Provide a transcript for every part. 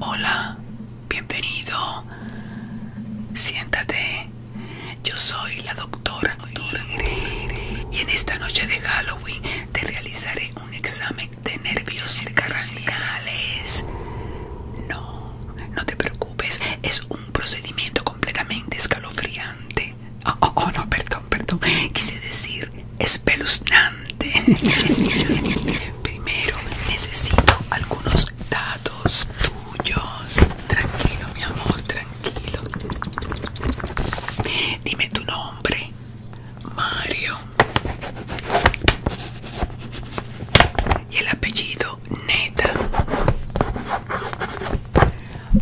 Hola, bienvenido. Siéntate. Yo soy la doctora y en esta noche de Halloween te realizaré un examen de nervios craniales. No no te preocupes, es un procedimiento completamente escalofriante. Oh, oh, oh no, perdón, perdón. Quise decir espeluznante. Primero necesito algunos datos tuyos. Tranquilo, mi amor, tranquilo. Dime tu nombre. Mario y el apellido Neta.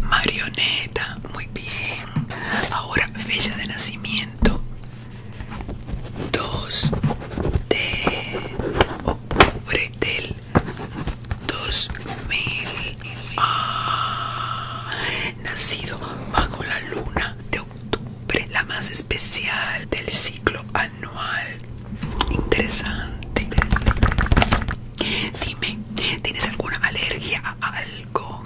Marioneta, muy bien. Ahora fecha de nacimiento. 2 de octubre del 2000. Ah, nacido bajo la luna de octubre, la más especial del ciclo Interesante, Dime, ¿tienes alguna alergia a algo?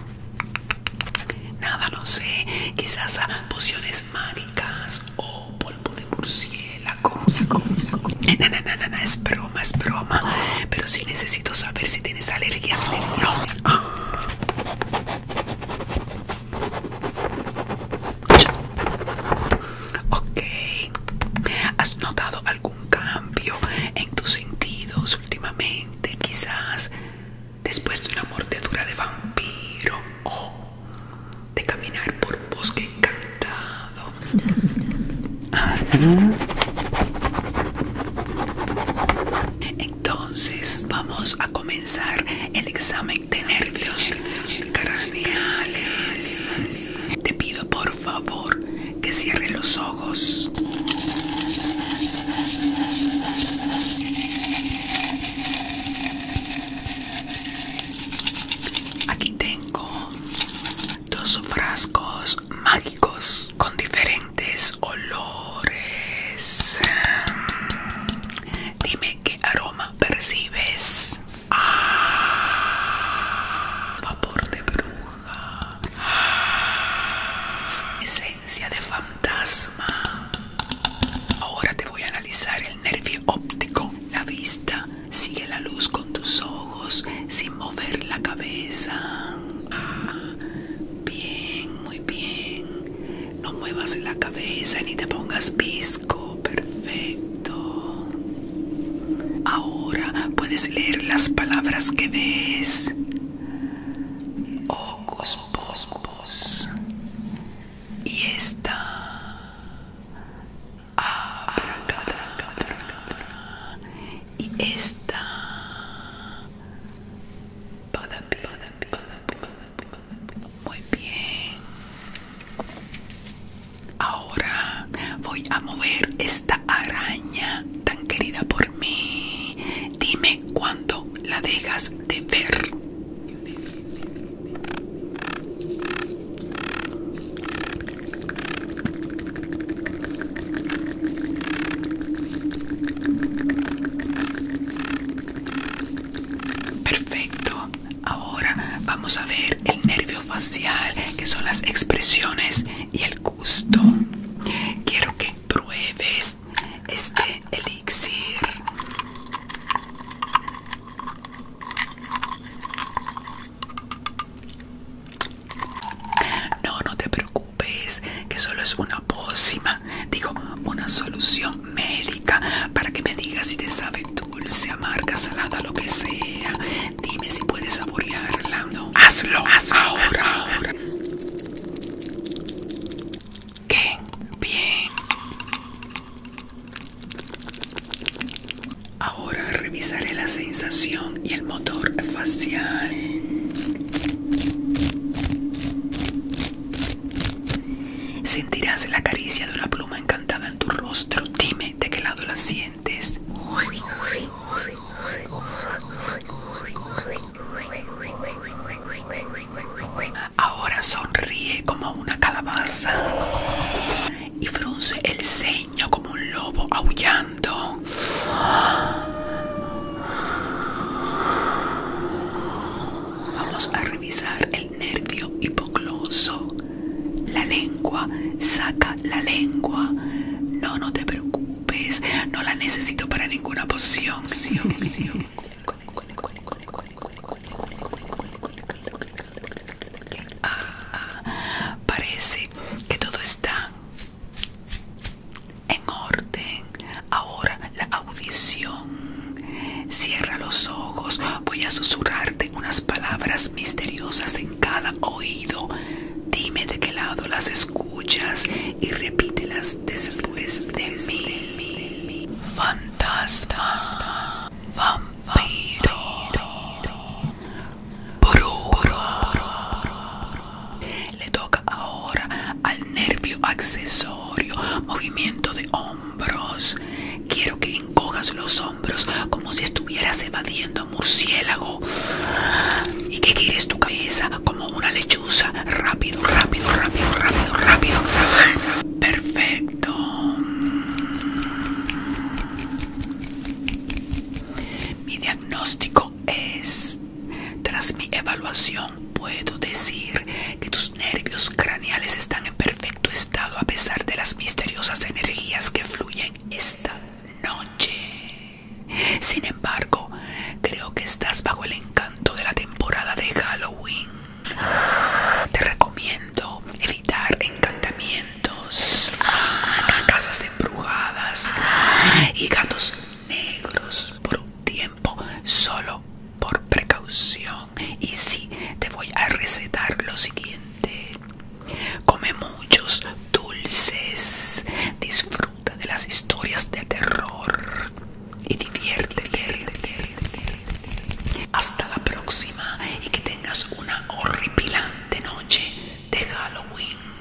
Nada, no sé. Quizás a pociones mágicas o polvo de murciélago. es broma, es broma. Pero sí necesito saber si tienes alergias. No. Ah. Ok, ¿has notado algún cambio en tus sentidos últimamente? Quizás después de una mordedura de vampiro o de caminar por bosque encantado. Entonces vamos a comenzar el examen de nervios craneales. Te pido por favor que cierre los ojos. Aquí tengo dos frascos mágicos con diferentes olores. Dime qué aroma percibes. Ah, vapor de bruja. Ah, esencia de fantasma. Ahora te voy a analizar el nervio óptico, la vista. Sigue la luz con tus ojos sin mover la cabeza. Ah, bien, muy bien. No muevas la cabeza ni te pongas pisco. Perfecto. Ahora puedes leer las palabras que ves. ojos boscos. Y esta. Y esta. Muy bien. Ahora voy a mover esta araña tan querida por mí. Dime cuándo la dejas de ver. Perfecto. Ahora vamos a ver el nervio facial, que son las expresiones y el gusto. Quiero que pruebes este elixir. No, no te preocupes, que solo es una pócima digo, una solución médica para que me digas si te sabe dulce, amarga, salada, lo que sea. Dime si puedes saborearla. Hazlo, hazlo hazlo, Qué bien. Ahora revisaré la sensación y el motor facial. Sentirás la caricia de una pluma encantada en tu rostro. Dime de qué lado la sientes. Ahora sonríe como una calabaza y frunce el ceño como un lobo aullando. Vamos a revisar el nervio hipogloso. La lengua, saca la lengua. No, no te preocupes, no la necesito para ninguna poción. Ah, ah, parece que todo está en orden. Ahora la audición. Cierra los ojos. Voy a susurrarte unas palabras misteriosas en cada oído. Dime de qué lado las escuchas y repítelas después de mí. Fantasmas. Vampiro. Le toca ahora al nervio accesorio, movimiento de hombros. Quiero que encojas los hombros como si estuvieras evadiendo murciélago. Y que gires tu cabeza como una lechuza. Rápido, rápido, rápido, rápido, rápido. Perfecto. Mi diagnóstico es tras mi evaluación puedo decir que tus nervios craneales están en perfecto estado a pesar de las misteriosas energías que fluyen esta noche. Sin embargo, creo que estás bajo el encanto de la temporada de Halloween. Te recomiendo evitar encantamientos, casas embrujadas y gatos negros por un tiempo solo por precaución y si te voy a recetar lo siguiente come muchos dulces disfruta de las historias de terror y diviértete hasta la próxima y que tengas una horripilante noche de Halloween